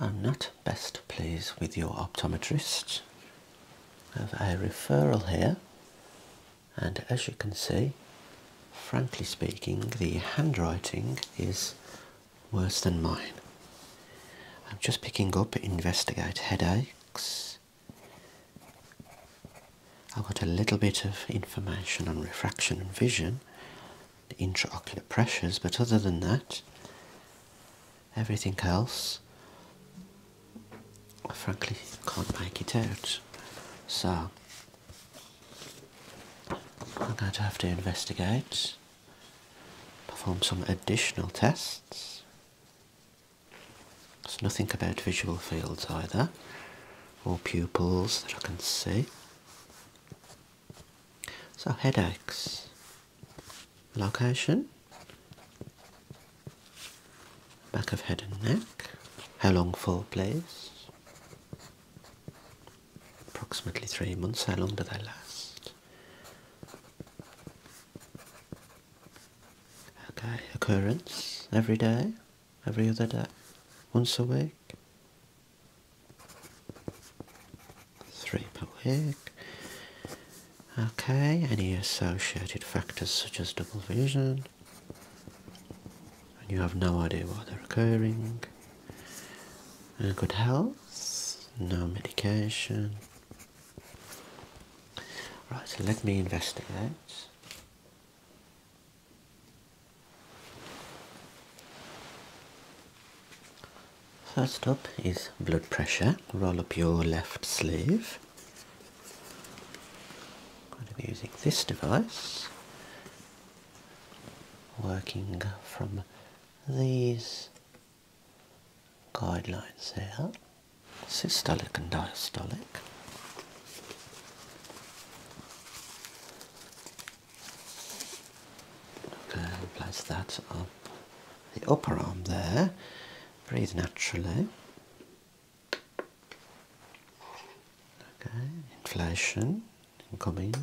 I'm not best pleased with your optometrist. I have a referral here, and as you can see, frankly speaking, the handwriting is worse than mine. I'm just picking up investigate headaches. I got a little bit of information on refraction and vision, the intraocular pressures, but other than that, everything else, I frankly can't make it out. So, I'm going to have to investigate, perform some additional tests. There's nothing about visual fields either, or pupils that I can see. So headaches, location, back of head and neck, how long for please? Approximately three months, how long do they last? Okay, occurrence, every day, every other day, once a week, Three per week. Okay, any associated factors such as double vision, and you have no idea why they're occurring. Uh, good health, no medication. Right, so let me investigate. First up is blood pressure. Roll up your left sleeve. I'm using this device, working from these guidelines here, systolic and diastolic. Okay, place that up the upper arm there. Breathe naturally. Okay, inflation coming.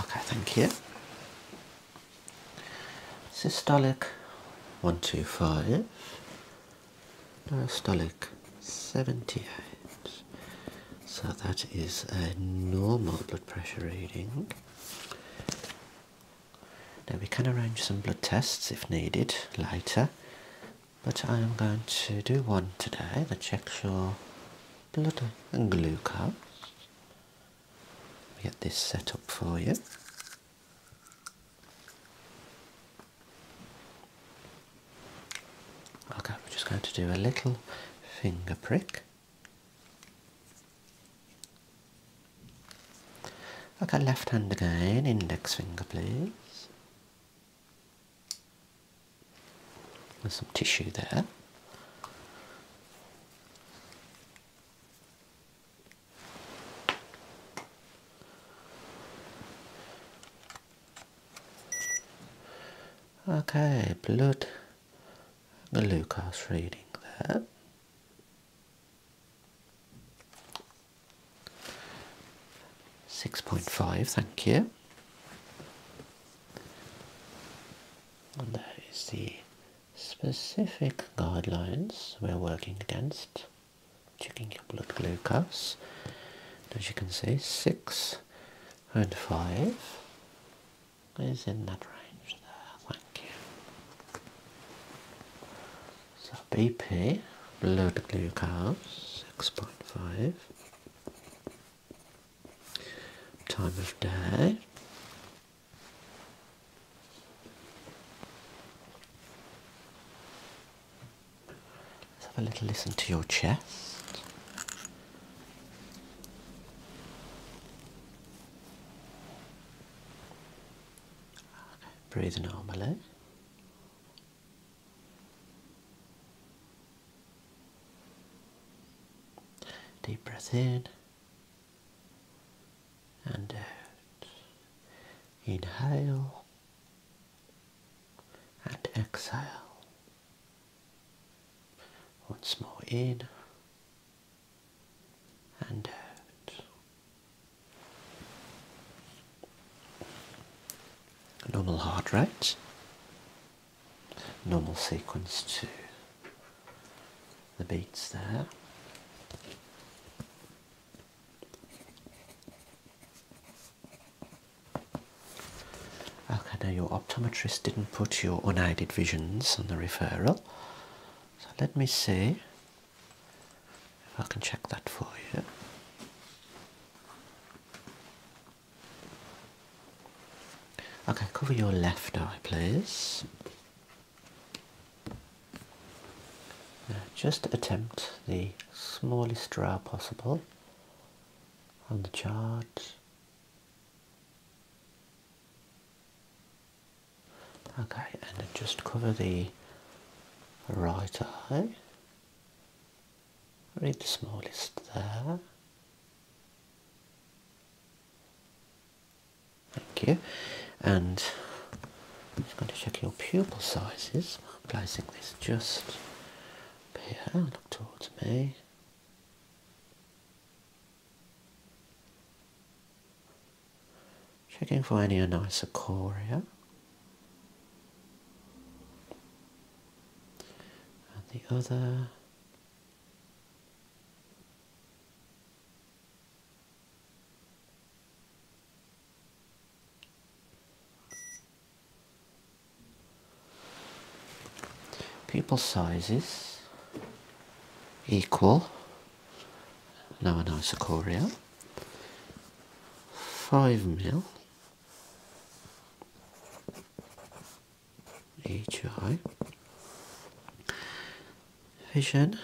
Okay, thank you. Systolic 125, diastolic 78. So that is a normal blood pressure reading. Now we can arrange some blood tests if needed later but I am going to do one today that checks your blood and glucose. Get this set up for you. Okay, we're just going to do a little finger prick. Okay, left hand again, index finger please. There's some tissue there. Okay, blood glucose reading there. 6.5, thank you. And there is the specific guidelines we're working against, checking your blood glucose. And as you can see, 6 and 5 is in that range there, thank you. So BP, blood glucose, 6.5. Time of day. have a little listen to your chest. Okay, breathe normally. Deep breath in and out. Inhale and exhale. Once more in and out normal heart rate, normal sequence to the beats there. Okay, now your optometrist didn't put your unaided visions on the referral, so let me see if I can check that for you. Okay, cover your left eye, please. just attempt the smallest draw possible on the chart. Okay, and just cover the right eye read the smallest there. Thank you. And I'm just going to check your pupil sizes. placing this just here. Look towards me. Checking for any anisocoria and the other pupil sizes equal now an isochoria 5 mil HI Vision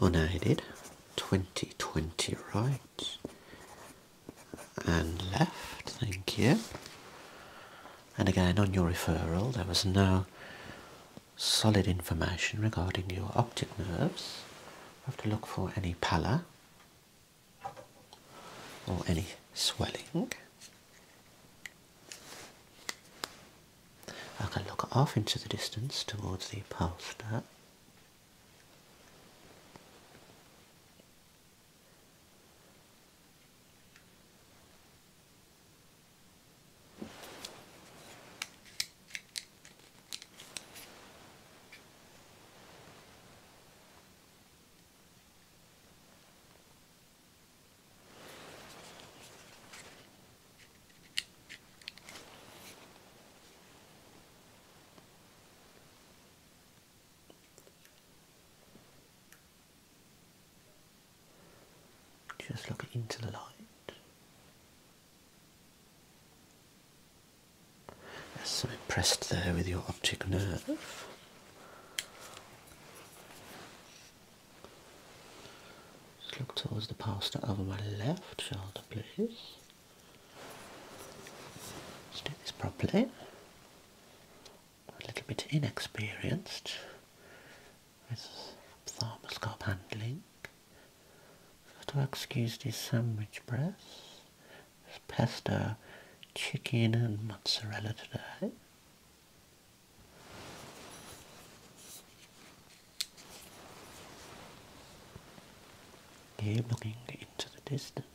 unaided 2020 right and left, thank you. And again on your referral there was no solid information regarding your optic nerves have to look for any pallor or any swelling. I can look off into the distance towards the poster. Just look into the light. So impressed there with your optic nerve. Just look towards the pastor over my left shoulder, please. Let's do this properly. A little bit inexperienced with thermoscope handling. That'll excuse these sandwich breasts. It's pasta, chicken and mozzarella today. Here looking into the distance.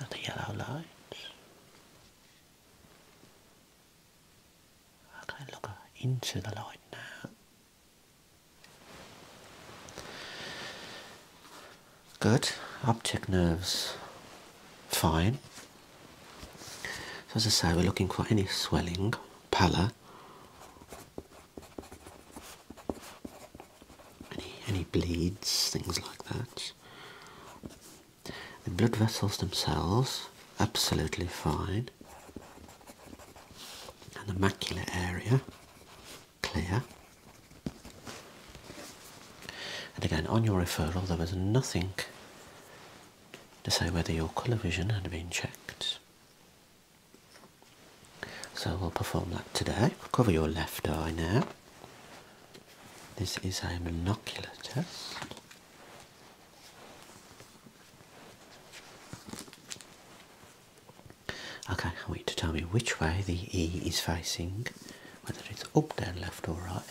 At the yellow lights. Okay, look into the light now. Good. Optic nerves, fine. So as I say, we're looking for any swelling, pallor, any any bleeds, things like that. The blood vessels themselves, absolutely fine. And the macular area, clear. And again, on your referral, there was nothing to say whether your colour vision had been checked. So we'll perform that today. Cover your left eye now. This is a monocular test. Okay, I to tell me which way the E is facing, whether it's up, down, left, or right.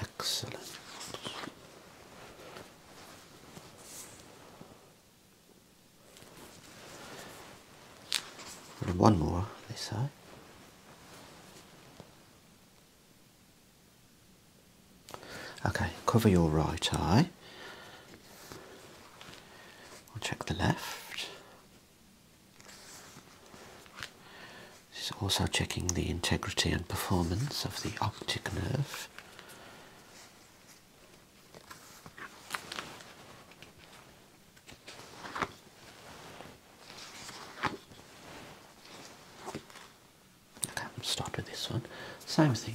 Excellent. one more, this say. Okay, cover your right eye. I'll check the left. This is also checking the integrity and performance of the optic nerve. Okay, we start with this one. Same thing,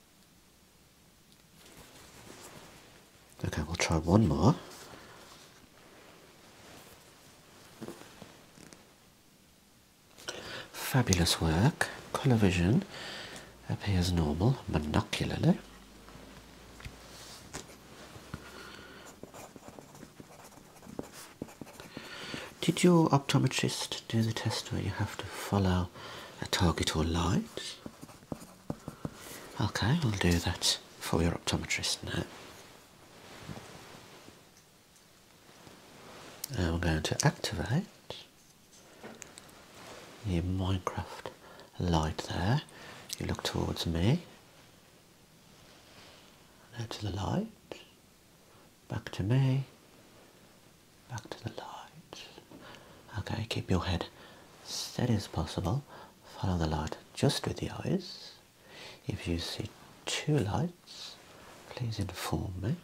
Okay, we'll try one more. Fabulous work. Colour vision appears normal, monocularly. Did your optometrist do the test where you have to follow a target or light? Okay, we'll do that for your optometrist now. And uh, we're going to activate your Minecraft light there. You look towards me. Now to the light. Back to me. Back to the light. Okay, keep your head steady as possible. Follow the light just with the eyes. If you see two lights, please inform me.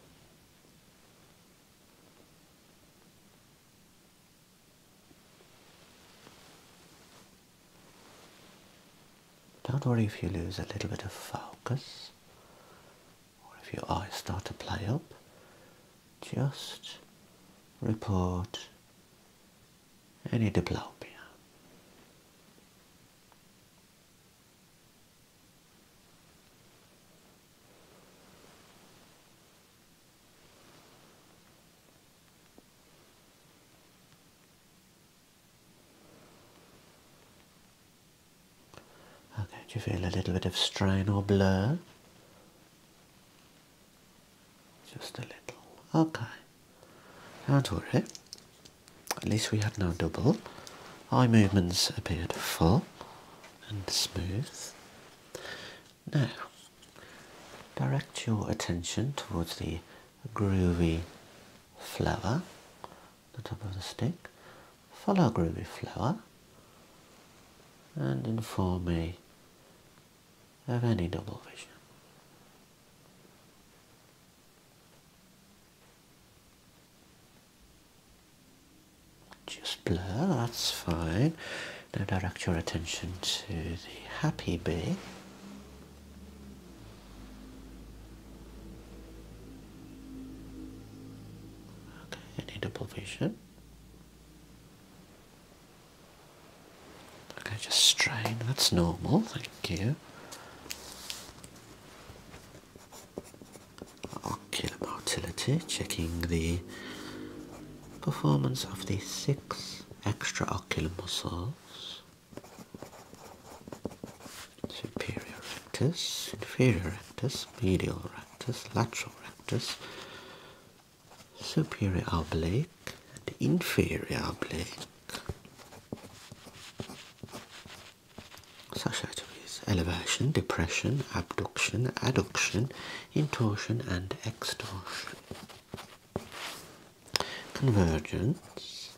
Don't worry if you lose a little bit of focus or if your eyes start to play up just report any diplopia. Okay, do you feel a little bit of strain or blur just a little. Okay. Don't worry. At least we had now double. Eye movements appeared full and smooth. Now, direct your attention towards the groovy flower, the top of the stick. Follow groovy flower and inform me of any double vision. Just blur, that's fine. Now direct your attention to the happy bee. Okay, any double vision. Okay, just strain. That's normal, thank you. Ocular motility, checking the performance of the six extraocular muscles. Superior rectus, inferior rectus, medial rectus, lateral rectus, superior oblique and inferior oblique. Such atomies elevation, depression, abduction, adduction, intorsion, and extorsion. Convergence,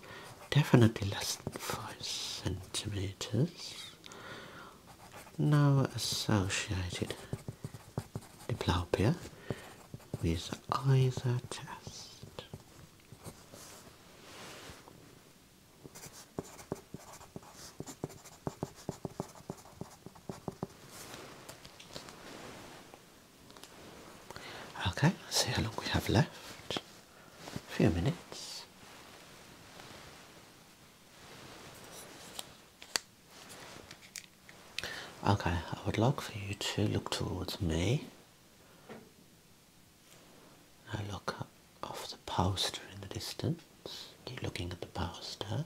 definitely less than 5 centimeters. No associated diplopia with either test. Okay, let's see how long we have left. A few minutes. Okay, I would like for you to look towards me. I look off the poster in the distance. Keep looking at the poster.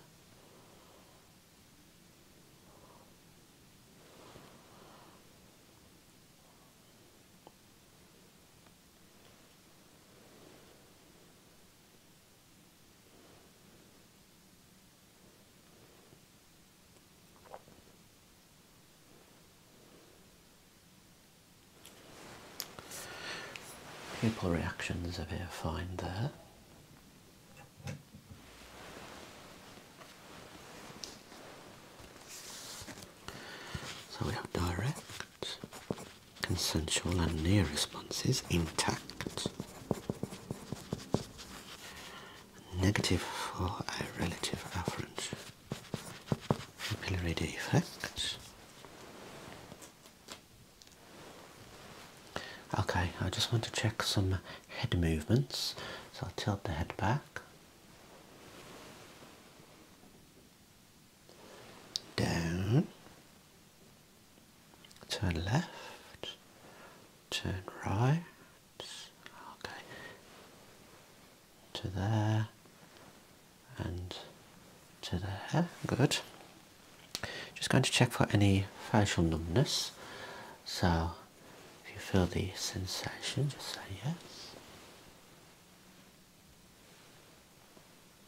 Pupil reactions appear fine there. So we have direct consensual and near responses intact. Negative for a relative afferent pupillary defect. Okay, I just want to check some head movements, so I'll tilt the head back. Down turn left, turn right, okay, to there and to there, good. Just going to check for any facial numbness, so if you feel the sensation, just say yes.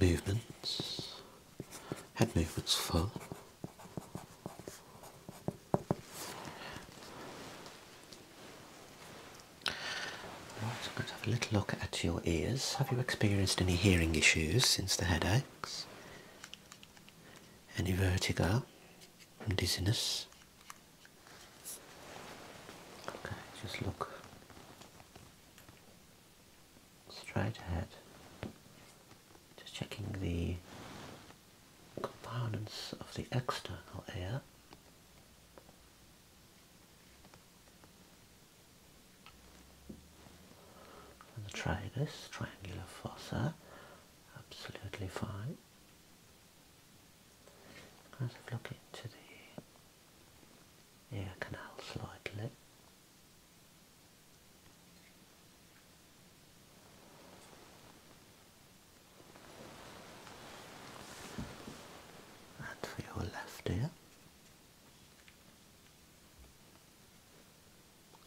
movements, head movements full. Right, I'm going to have a little look at your ears. Have you experienced any hearing issues since the headaches? Any vertigo and dizziness? Okay, just look straight ahead. Just checking the components of the external ear. And the tragus, triangular fossa, absolutely fine. Let's look into the ear canal slightly. And for your left ear.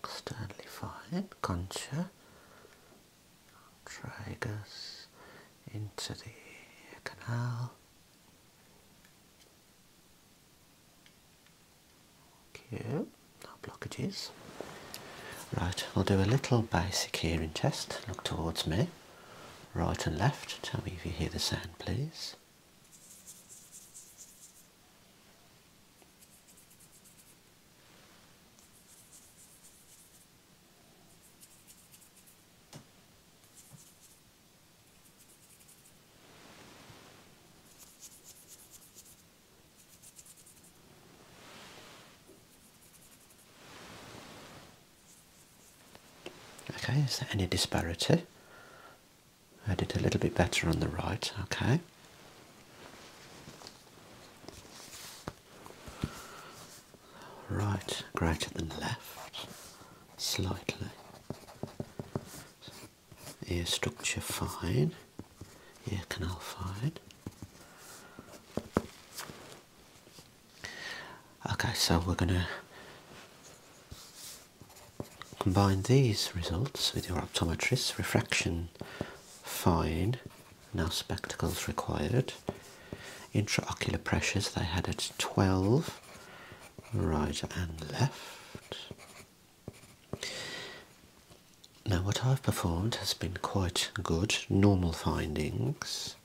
Externally fine, concha Drag us into the canal. Okay, no blockages. Right, we'll do a little basic hearing test. Look towards me, right and left. Tell me if you hear the sound, please. Okay, is there any disparity? I did a little bit better on the right, okay right greater than left slightly. Ear structure fine, ear canal fine. Okay, so we're going to combine these results with your optometrist's refraction fine now spectacles required. Intraocular pressures they had at 12. Right and left. Now what I've performed has been quite good. Normal findings.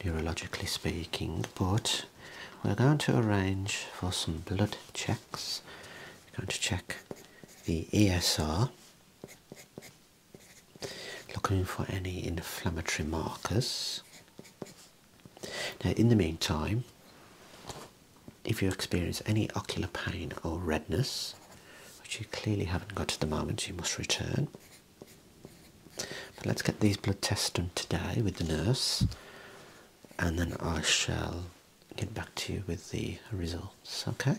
Neurologically speaking, but we're going to arrange for some blood checks. We're going to check the ESR looking for any inflammatory markers. Now, in the meantime, if you experience any ocular pain or redness, which you clearly haven't got at the moment, you must return. let's get these blood tests done today with the nurse, and then I shall get back to you with the results, okay?